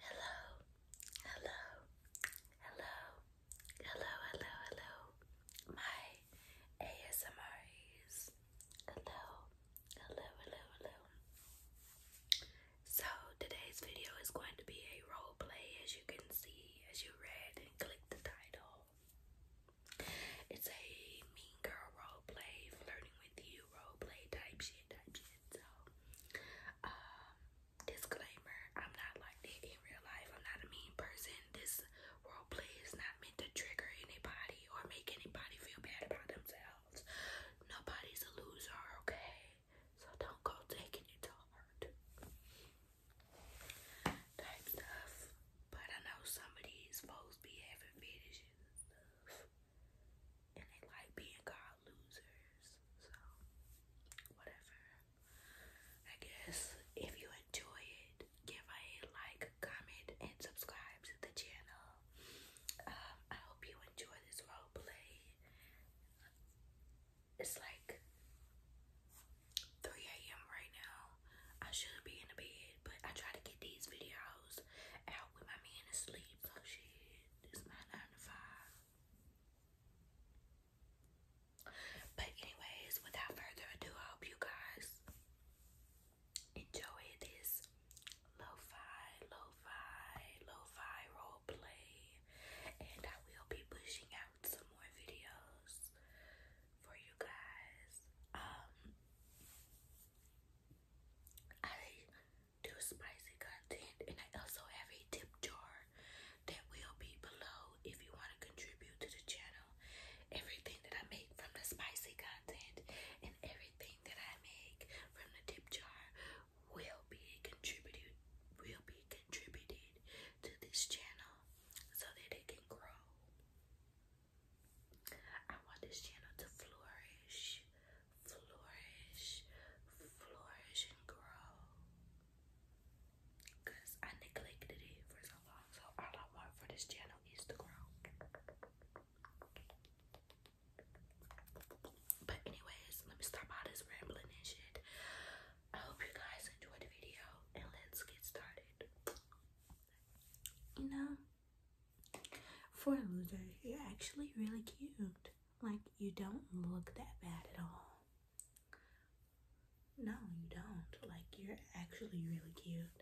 Hello, hello, hello, hello, hello, hello, my ASMRs. Hello, hello, hello, hello. So today's video is going to be a role play, as you can see, as you read and click the title. It's a mean girl role flirting with you role type shit. Um, disclaimer: I'm not like that in real life. I'm not a mean person. This role play is not meant to trigger anybody or make anybody feel bad about themselves. Nobody's a loser, okay? So don't go taking it to heart. Type stuff. But I know some of these folks be having fetishes and they like being called losers. So, whatever. I guess if you enjoy it, give a like, comment, and subscribe to the channel. Um, I hope you enjoy this role play. It's like 3 a.m. right now. I should be in the bed, but I try to get these videos out when my man is asleep. So, but anyways, without further ado, I hope you guys enjoy this lo-fi, lo-fi, role play. And I will be pushing out some more videos for you guys. Um do spicy content, and I also have a tip jar that will be below if you want to contribute to the channel. Everything that I make from the spicy content and everything that I make from the tip jar will be contributed will be contributed to this channel so that it can grow. I want this channel to flourish, flourish, flourish and grow. Cause I neglected it for so long, so all I want for this channel is to grow. But anyways, let me stop all this rambling shit. I hope you guys enjoyed the video and let's get started. You know, for a you're actually really cute. Like, you don't look that bad at all. No, you don't. Like, you're actually really cute.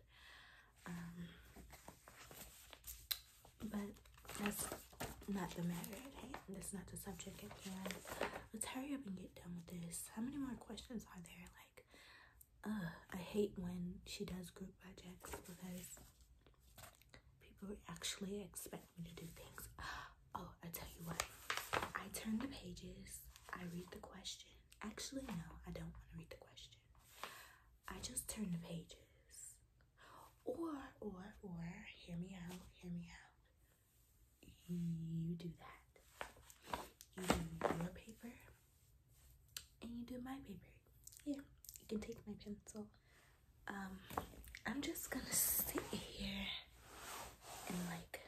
Um, but that's not the matter at hand. That's not the subject at hand. Let's hurry up and get done with this. How many more questions are there? Like, I hate when she does group projects because People actually expect me to do things. Oh, I tell you what, I turn the pages, I read the question. Actually, no, I don't want to read the question. I just turn the pages. Or, or, or, hear me out, hear me out. You do that. You do your paper and you do my paper. Yeah, you can take my pencil. Um, I'm just gonna sit here and like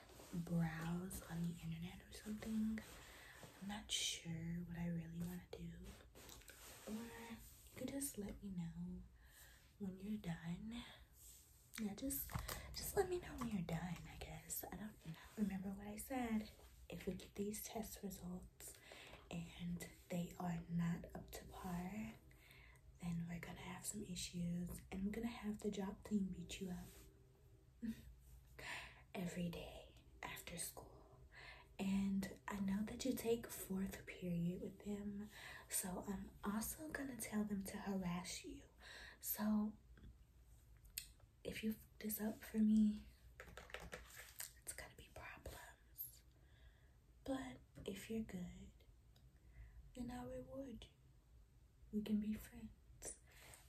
browse on the internet or something. I'm not sure what I really want to do. Or you could just let me know when you're done. Yeah, just just let me know when you're done, I guess. I don't remember what I said. If we get these test results and they are not up to par, then we're gonna have some issues and we're gonna have the job team beat you up every day after school. And I know that you take fourth period with them, so I'm also gonna tell them to harass you. So if you f this up for me, it's gonna be problem. But if you're good, then i reward you. We can be friends.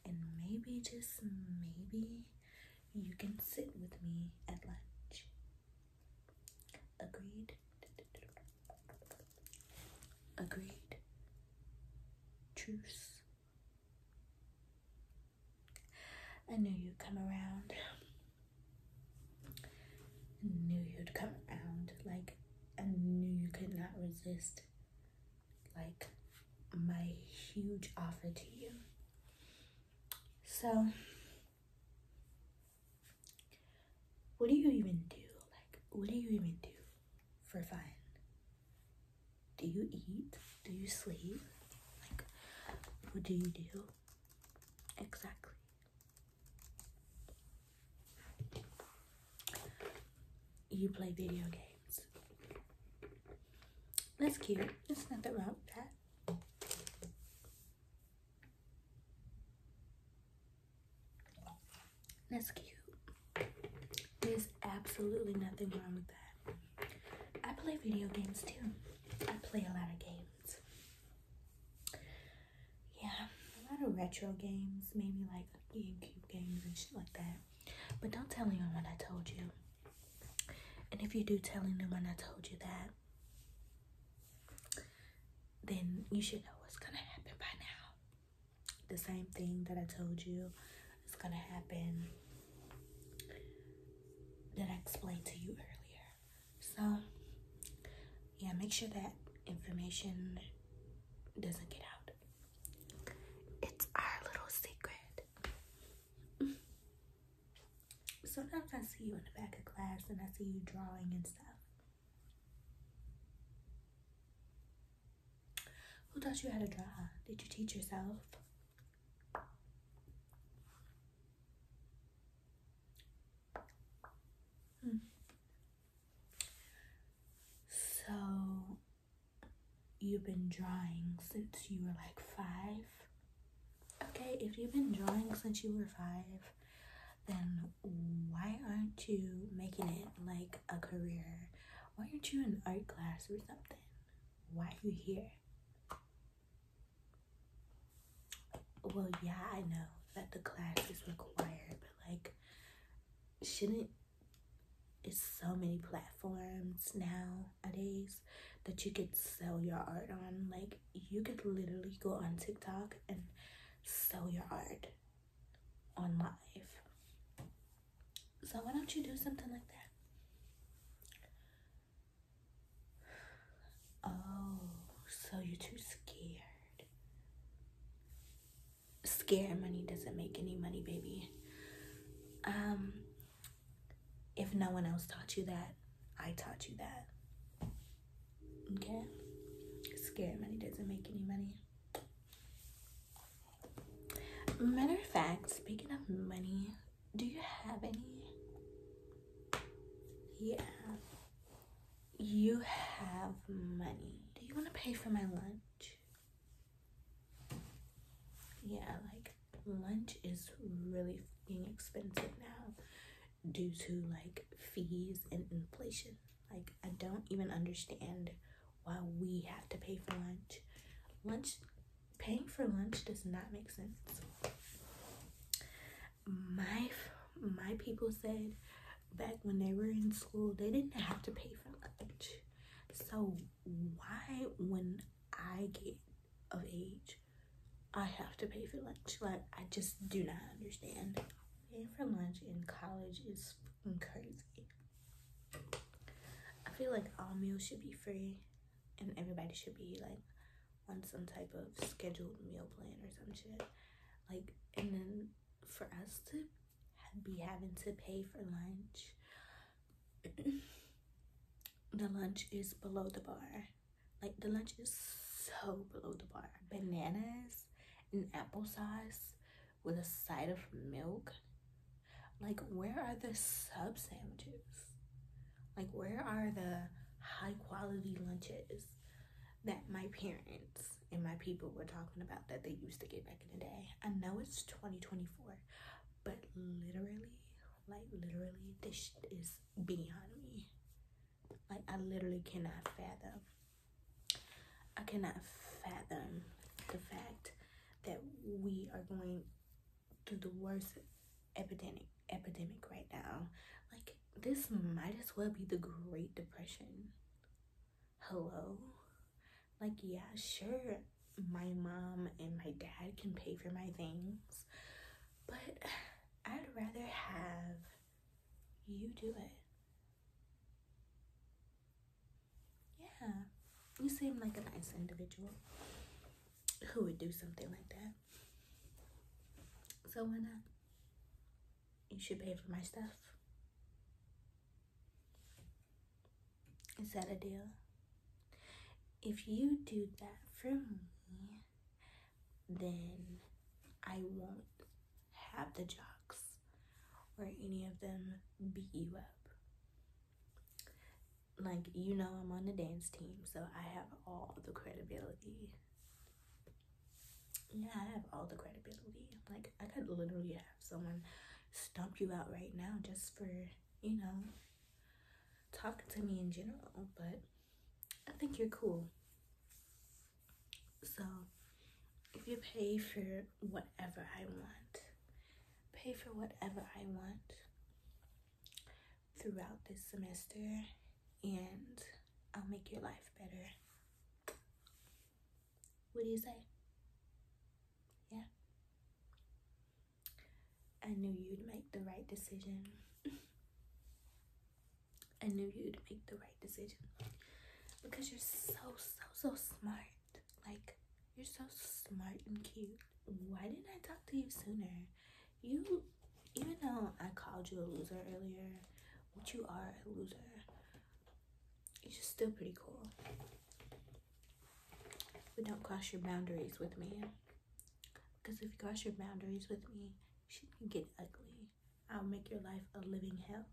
And maybe, just maybe, you can sit with me at lunch. Agreed? Agreed. Truce. I knew you'd come around. I knew you'd come around. Like, I knew you could not resist. Like, my huge offer to you. So, what do you even do? Like, what do you even do for fun? Do you eat? Do you sleep? Like, what do you do? Exactly. You play video games. That's cute. There's nothing wrong with that. That's cute. There's absolutely nothing wrong with that. I play video games too. I play a lot of games. Yeah, a lot of retro games, maybe like GameCube games and shit like that. But don't tell anyone what I told you. And if you do tell anyone I told you that, then you should know what's gonna happen by now. The same thing that I told you is gonna happen that I explained to you earlier. So, yeah, make sure that information doesn't get out. It's our little secret. Sometimes I see you in the back of class and I see you drawing and stuff. Who taught you how to draw? Did you teach yourself? Hmm. So, you've been drawing since you were like five? Okay, if you've been drawing since you were five, then why aren't you making it like a career? Why aren't you in art class or something? Why are you here? well yeah i know that the class is required but like shouldn't it's so many platforms nowadays that you could sell your art on like you could literally go on tiktok and sell your art on live so why don't you do something like that Oh, so you're too scared. Scared money doesn't make any money, baby. Um, if no one else taught you that, I taught you that. Okay? Scared money doesn't make any money. Matter of fact, speaking of money, do you have any? Yeah. You have money. Do you want to pay for my lunch? Yeah, like lunch is really being expensive now due to like fees and inflation. Like I don't even understand why we have to pay for lunch. Lunch paying for lunch does not make sense my my people said back when they were in school they didn't have to pay for lunch so why when i get of age i have to pay for lunch like i just do not understand paying for lunch in college is crazy i feel like all meals should be free and everybody should be like on some type of scheduled meal plan or some shit. Like, and then for us to be having to pay for lunch, the lunch is below the bar. Like, the lunch is so below the bar. Bananas and applesauce with a side of milk. Like, where are the sub sandwiches? Like, where are the high quality lunches that my parents and my people were talking about that they used to get back in the day? I know it's 2024, but literally, like, literally, this is beyond me. Like, I literally cannot fathom. I cannot fathom the fact that we are going to the worst epidemic epidemic right now. Like this might as well be the Great Depression. Hello? Like yeah, sure. My mom and my dad can pay for my things, but I'd rather have you do it. Yeah. You seem like a nice individual who would do something like that. So why not? Uh, you should pay for my stuff. Is that a deal? If you do that for me, then I won't have the jocks or any of them beat you up. Like, you know, I'm on the dance team, so I have all the credibility. Yeah, I have all the credibility. Like, I could literally have someone stomp you out right now just for, you know, talking to me in general, but I think you're cool. So, if you pay for whatever I want, pay for whatever I want throughout this semester and I'll make your life better. What do you say? Yeah? I knew you'd make the right decision. I knew you'd make the right decision because you're so, so, so smart. Like, you're so smart and cute. Why didn't I talk to you sooner? you even though I called you a loser earlier, which you are a loser, you're still pretty cool. But don't cross your boundaries with me. Because if you cross your boundaries with me, you can get ugly. I'll make your life a living hell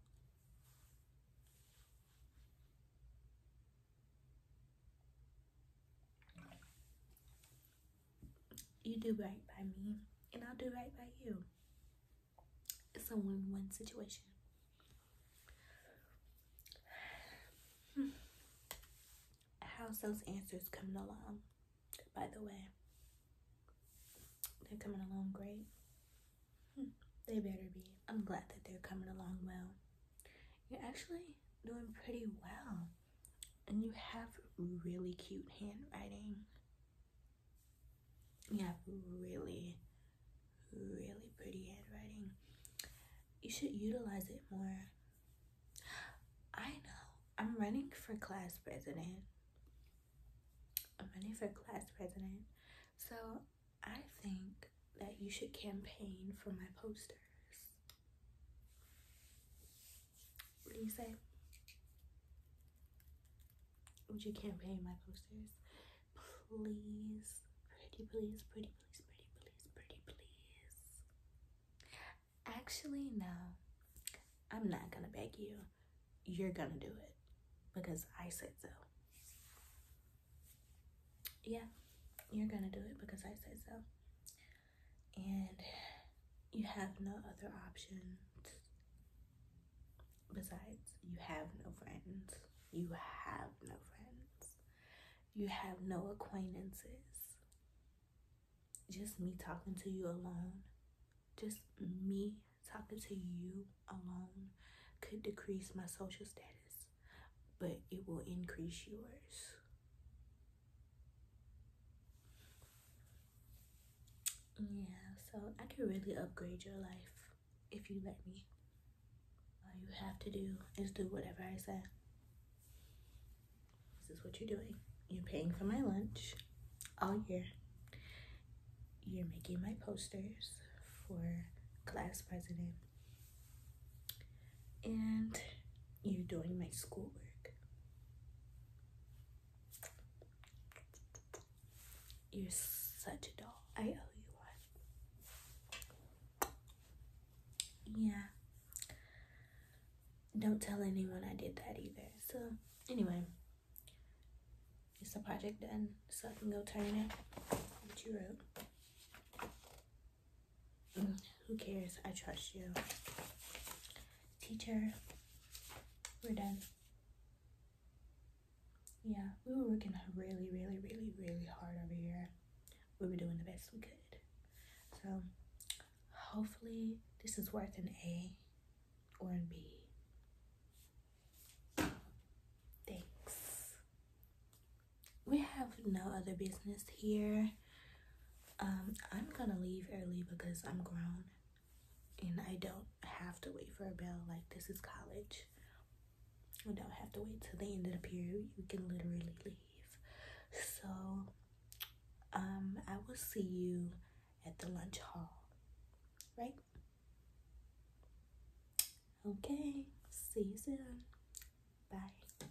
you do right by me, and I'll do right by you. It's a win win situation. How's those answers coming along, by the way? They're coming along great. Hmm, they better be. I'm glad that they're coming along well. You're actually doing pretty well and you have really cute handwriting. You have really, really pretty handwriting. You should utilize it more. I know. I'm running for class president. I'm running for class president. So I think that you should campaign for my posters. What do you say? Would you can pay my posters? Please, pretty please, pretty please, pretty please, pretty please. Actually, no. I'm not gonna beg you. You're gonna do it because I said so. Yeah, you're gonna do it because I said so and you have no other options besides you have no friends. You have no friends. You have no acquaintances. Just me talking to you alone. Just me talking to you alone could decrease my social status, but it will increase yours. Yeah, so I can really upgrade your life if you let me. All you have to do is do whatever I say. This is what you're doing. You're paying for my lunch all year. You're making my posters for class president and you are doing my schoolwork. You're such a doll. I owe you one. Yeah. Don't tell anyone I did that either. So, anyway, it's the project done, so I can go turn it. What you wrote. Who cares? I trust you. Teacher, we're done. Yeah, we were working really, really, really, really hard over here. We were doing the best we could. So, hopefully, this is worth an A or an B. Thanks. We have no other business here. Um, I'm gonna leave early because I'm grown and I don't have to wait for a bell. Like, this is college. We don't have to wait till the end of the period. You can literally leave. So, um, I will see you at the lunch hall, right? Okay, see you soon. Bye.